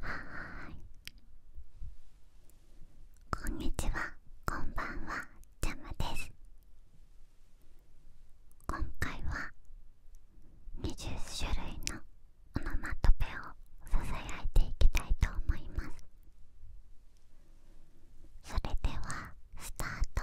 はーいこんにちはこんばんはジャムです今回は20種類のオノマトペをささやいていきたいと思いますそれではスタート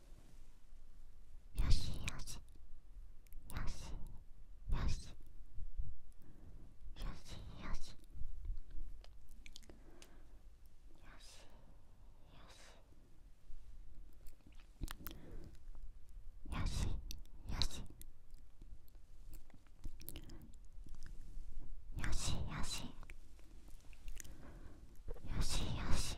よしよしよしよしよしよしよしよしよしよしよし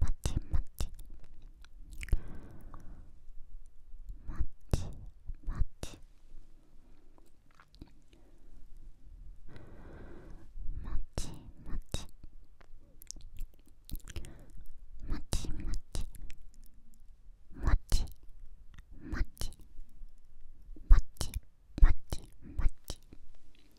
맞지 맞지 맞지 맞지 맞지 맞지 맞지 맞지 맞지 맞지 맞지 맞지 맞지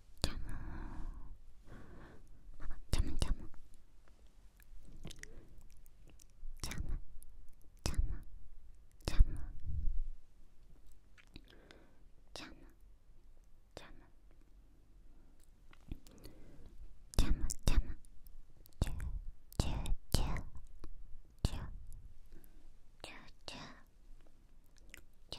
참어 참어 참어 참어 참어 참어 참어 참어 참아 참아 쭈쭈쭈쭈쭈쭈쭈쭈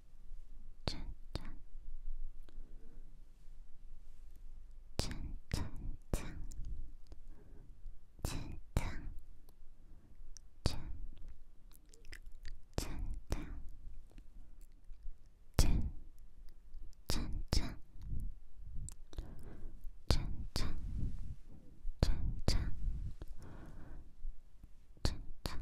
찬찬 찬찬찬 찬찬 찬찬 찬 찬찬 찬찬 찬찬 찬찬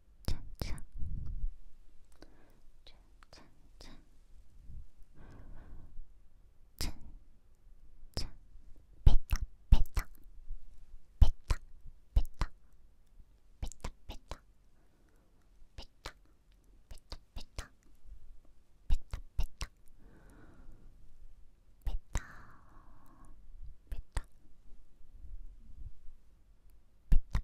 차차 차차차 차차 뺐다 뺐다 뺐다 뺐다 뺐다 뺐다 뺐다 뺐다 뺐다 뺐다 뺐다 뺐다 뺐다 뺐다 뺐다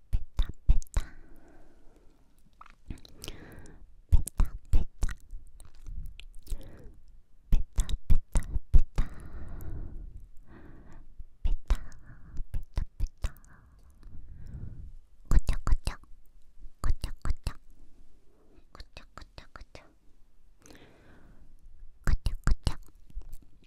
베타 베타 베타 베타 베타 베타 베타 베타 베타 베타 거짝거짝 거짝거짝 거짝거짝거짝 거짝거짝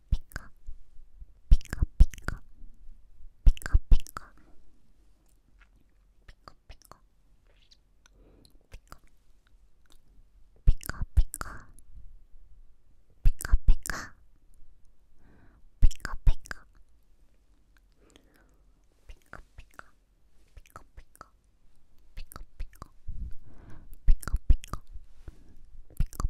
피카 피카 피카 피카 피카 피카 피카 피카 피카 피카 피카 피카 피카 피카피카 피카피카 피카피카 피카피카 피카피카 피카피카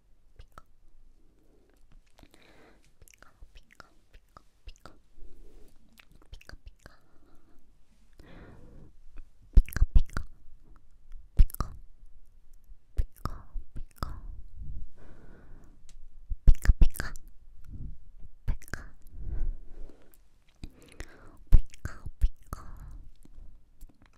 피카 피카 피카 피카 피카 피카 피카 피카 피카 피카 피카 피카 피카피카 피카 피카피카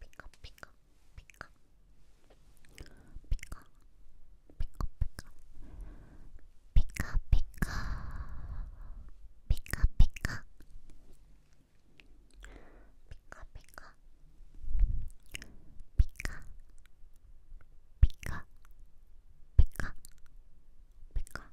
피카 피카 피카 피카 피카 피카 피카 피카 피카 피카 피카 피카 피카 피카 피카 피카